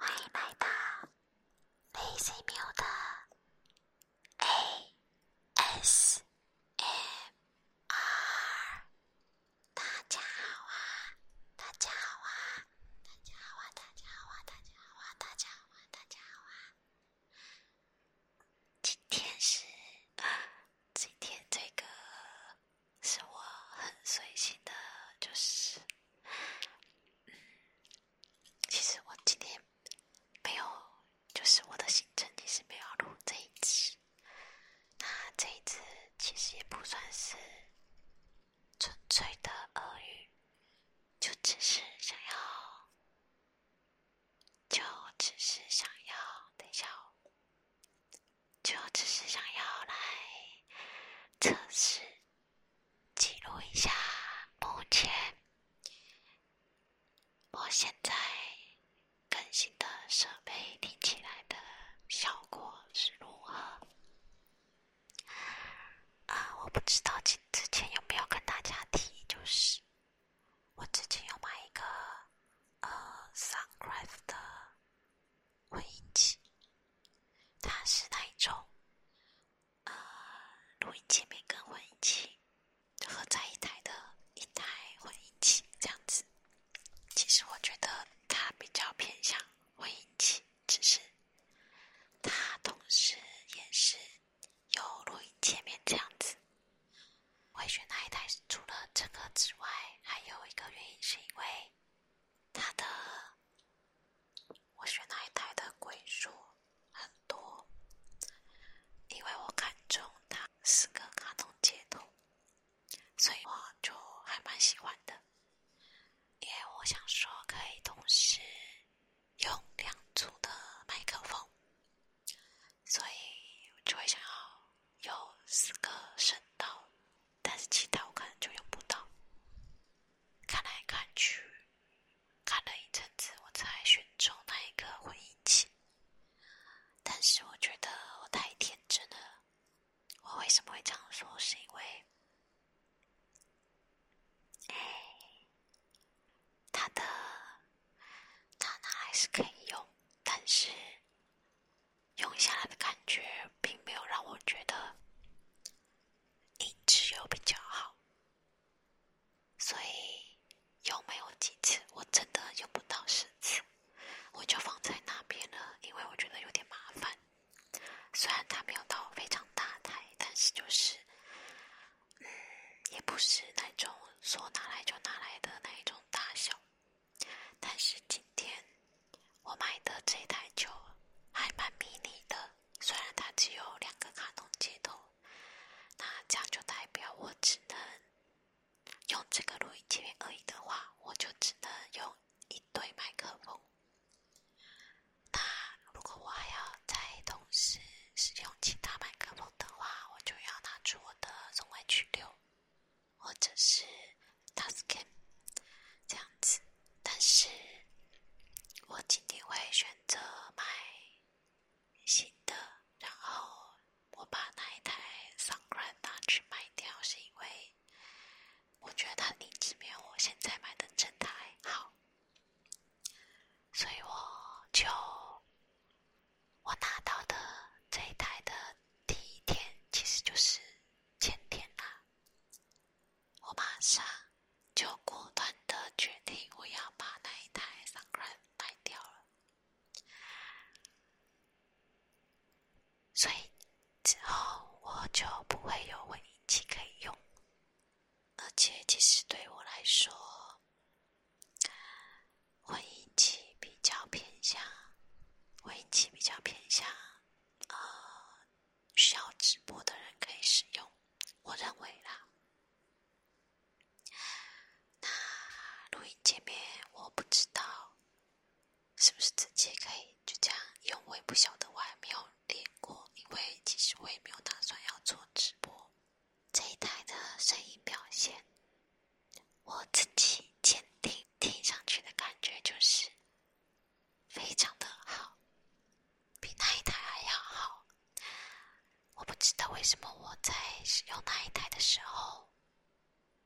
欢迎来到 Lazy 喵的 ASMR，大家好啊！大家好啊！大家好啊！大家好啊！大家好啊！大家好啊！今天是今天这个。是我很随性的，就是，其实我今天没有，就是我的行程其实没有录这一支，那这一次其实也不算是纯粹的耳语，就只是想要，就只是想要等下、哦，就只是想要来测试、记录一下，目前我现在更新的设备听起来的效果是如何。啊，我不知道之之前有没有跟大家提，就是我之前有买一个呃 Soundcraft 的。混音器。它是那一种，呃，录音界面跟混音器。合在一台的，一台混音器这样子。其实我觉得它比较偏向混音器，只是它同时也是有录音界面这样子。我选那一台？除了这个之外，还有一个原因是因为。它的，我选那一台的鬼数很多，因为我看中它四个卡通截图，所以我就还蛮喜欢的。因为我想说可以同时用两组的麦克风，所以就会想要有四个声道。但是其他我可能就用不到，看来看去，看了一阵子，我才选中那一个混音器。但是我觉得我太天真了。我为什么会这样说？是因为，哎，的，他那还是可以用，但是用下来的感觉并没有让我觉得。银质油比较好，所以有没有几次我真的有不到十次，我就放在那边了，因为我觉得有点麻烦。虽然它没有到非常大台，但是就是，嗯，也不是那种说拿来就拿来的那一种大小，但是今天。我买的这台就还蛮迷你的，虽然它只有两个卡通接头，那这样就代表我只能用这个录音机面而已的话，我就只能用一对麦克风。那如果我还要再同时使用其他麦克风的话，我就要拿出我的 Zoom H6 或者是 Tascam 这样子。但是我今天会选择买新的，然后我把那一台 s u n d c r a n 拿去卖掉，是因为我觉得它品质没有我现在买的这台好，所以我就我拿到的这一台的第一天，其实就是前天啦。我马上就果断的决定，我要把那一台 Sunrun 卖掉了。所以之后我就不会有混音器可以用，而且其实对我来说，混音器比较偏向，混音器比较偏向，呃，需要直播的人可以使用，我认为啦。那录音界面我不知道是不是直接可以就这样用，我也不晓得，我还没有练过。因为其实我也没有打算要做直播，这一台的声音表现，我自己鉴定听上去的感觉就是。非常的好，比那一台还要好。我不知道为什么我在使用那一台的时候，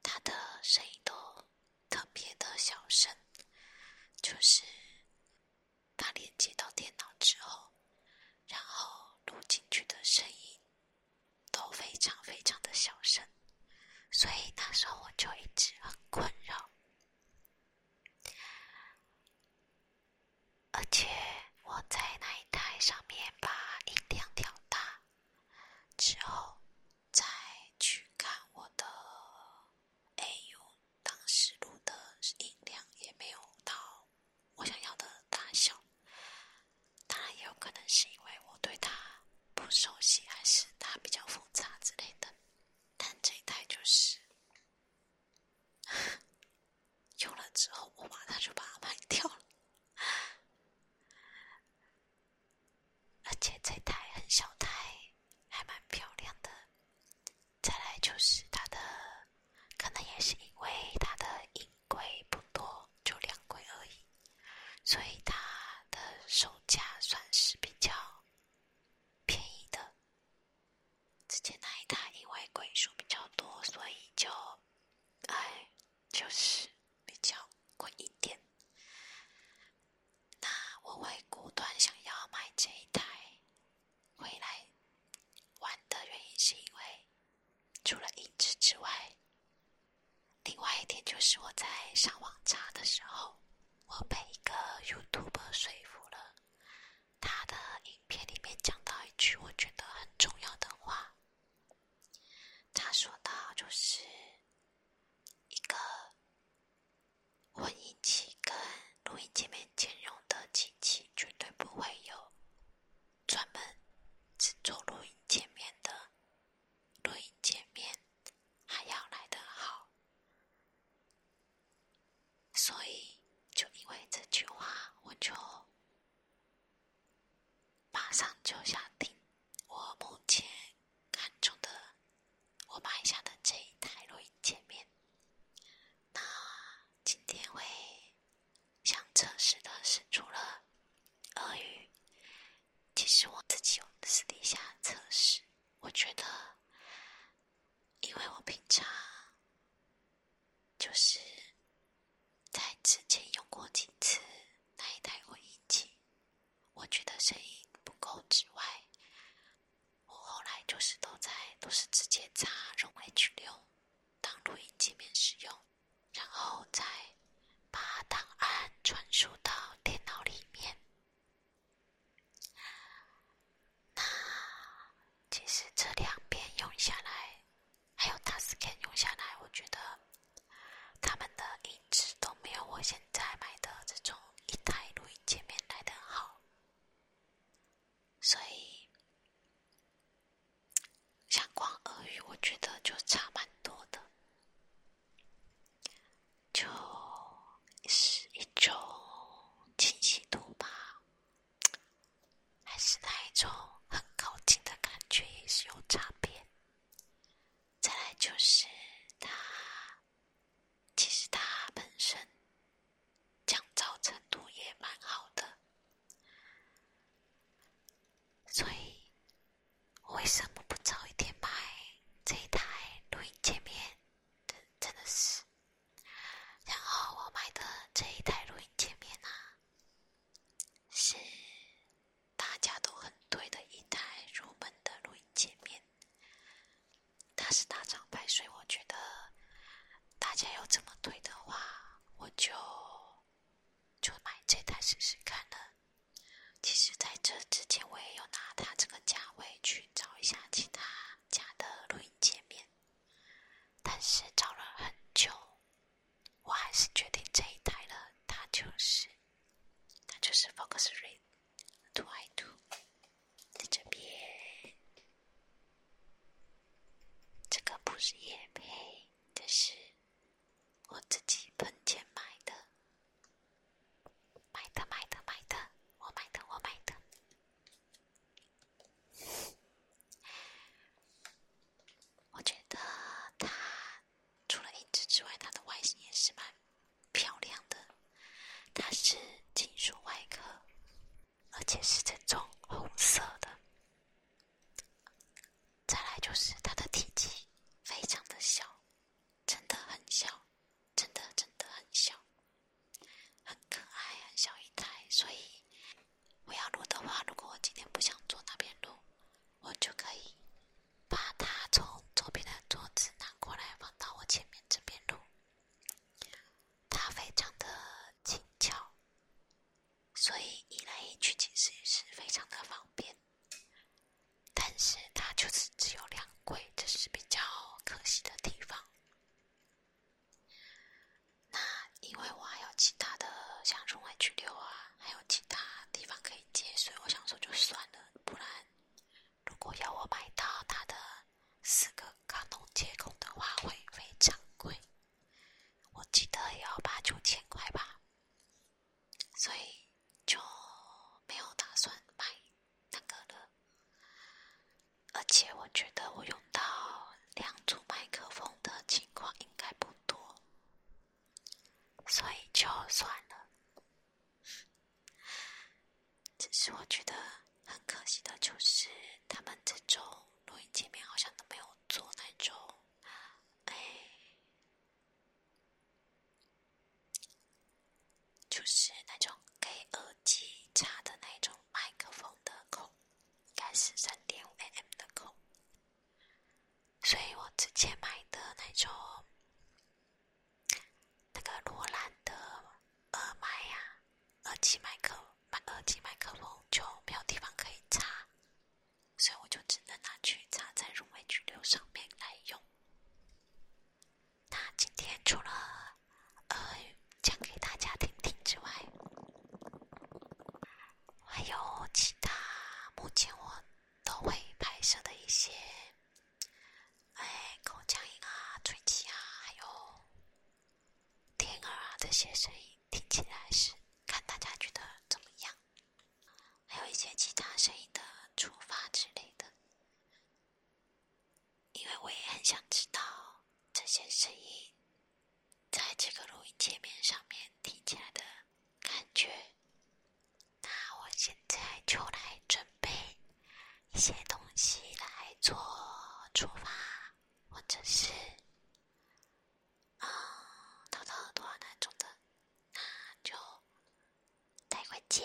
它的声音都特别的小声，就是它连接到电脑之后，然后录进去的声音都非常非常的小声，所以那时候我就一直很困扰。而且我在那一台上面把音量调大之后，再去看我的，AU，当时录的音量也没有到我想要的大小。当然也有可能是因为我对它不熟悉，还是它比较复杂之类的。但这一台就是。用 了之后，我马上就把它卖掉了。而且这台很小台，还蛮漂亮的。再来就是它的，可能也是因为它的硬柜不多，就两柜而已，所以它的售价算是比较便宜的。之前那一台因为鬼数比较多，所以就，唉，就是比较贵一点。那我会果断想要买这一台回来玩的原因，是因为除了音质之外，另外一点就是我在上网查的时候，我被一个 YouTube r 说服了。他的影片里面讲到一句我觉得很重要的话，他说到就是，一个混音器跟录音界面兼容的机器，绝对不会有专门只做录音界面的录音界面还要来的好。所以，就因为这句话，我就马上就想听我目前看中的、我买下的这一台录音界面。那今天会想测试的是，除了俄语，其实我自己私底下测试，我觉得。因为我平常就是在之前用过几次那一台录音机，我觉得声音不够之外，我后来就是都在都是直接插入 H 六当录音界面使用，然后再把档案传输到电脑里面。那其实这两边用下来，还有 Taskcan 用下来，我觉得他们的音质都没有我现在买的这种一台录音界面来的好。所以，像关耳语我觉得就差蛮多的，就。是一种清晰度吧，还是那一种很靠近的感觉也是有差别。再来就是它，其实它本身降噪程度也蛮好的，所以为什么不早一点买这一台录音界面？真真的是。然后我买的这一台录音界面呢，是大家都很推的一台入门的录音界面。它是大厂牌，所以我觉得大家要这么推的话，我就就买这台试试看呢。其实，在这之前，我也有拿它这个价位去找一下其他家的录音界面。但是找了很久，我还是决定这一台了。它就是，它就是 f o c u s r i t w o I Two，在这边，这个不是叶配，这是我自己存钱买的，买的买的买的，我买的我买的。我觉得它除了颜值之外，它的外形也是蛮漂亮的。它是金属外壳，而且是这种红色的。再来就是它的体积非常的小，真的很小。真的真的很小，很可爱，很小一台。所以我要录的话，如果我今天不想坐那边录，我就可以把它从左边的桌子拿过来放到我前面这边录。它非常的轻巧，所以移来移去其实也是非常的方便。但是它就是只有两柜，这是比较可惜的地方。那因为我还有其他的，像用外去留啊，还有其他地方可以接，所以我想说就算了。不然，如果要我买到他的四个卡通接口的话，会非常贵，我记得也要八九千块吧。所以就没有打算买那个了。而且我觉得我用到两组麦克风的情况应该不多，所以就算了。只是我觉得很可惜的就是，他们这种录音界面好像都没有做那种，哎，就是那种给耳机插的那种。麦克风的孔应该是三点五 mm 的孔，所以我之前买的那种那个罗兰的耳麦呀、耳机麦克、麦耳机麦克风就没有地方可以插，所以我就只能拿去插在入微巨流上面来用。那今天除了……呃，讲给大家听听之外，还有其他目前我都会拍摄的一些，哎，口腔音啊、吹气啊，还有天儿啊这些声音，听起来是看大家觉得怎么样？还有一些其他声音的触发之类的。因为我也很想知道这些声音在这个录音界面上面听起来的感觉。那我现在就来准备一些东西来做出发，或者是啊掏掏耳朵那种的，那就待会见。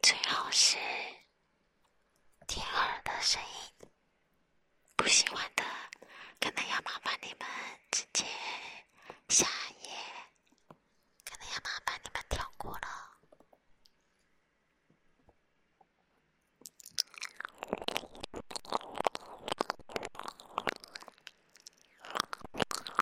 最好是听耳的声音，不喜欢的，可能要麻烦你们直接下一页，可能要麻烦你们跳过了。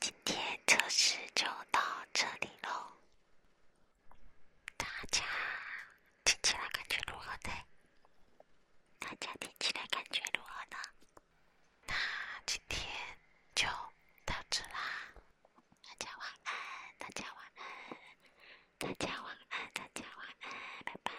今天测试就到这里喽，大家听起来感觉如何大家听起来感觉如何呢？那今天就到此啦，大家晚安，大家晚安，大家晚安，大家晚安，拜拜。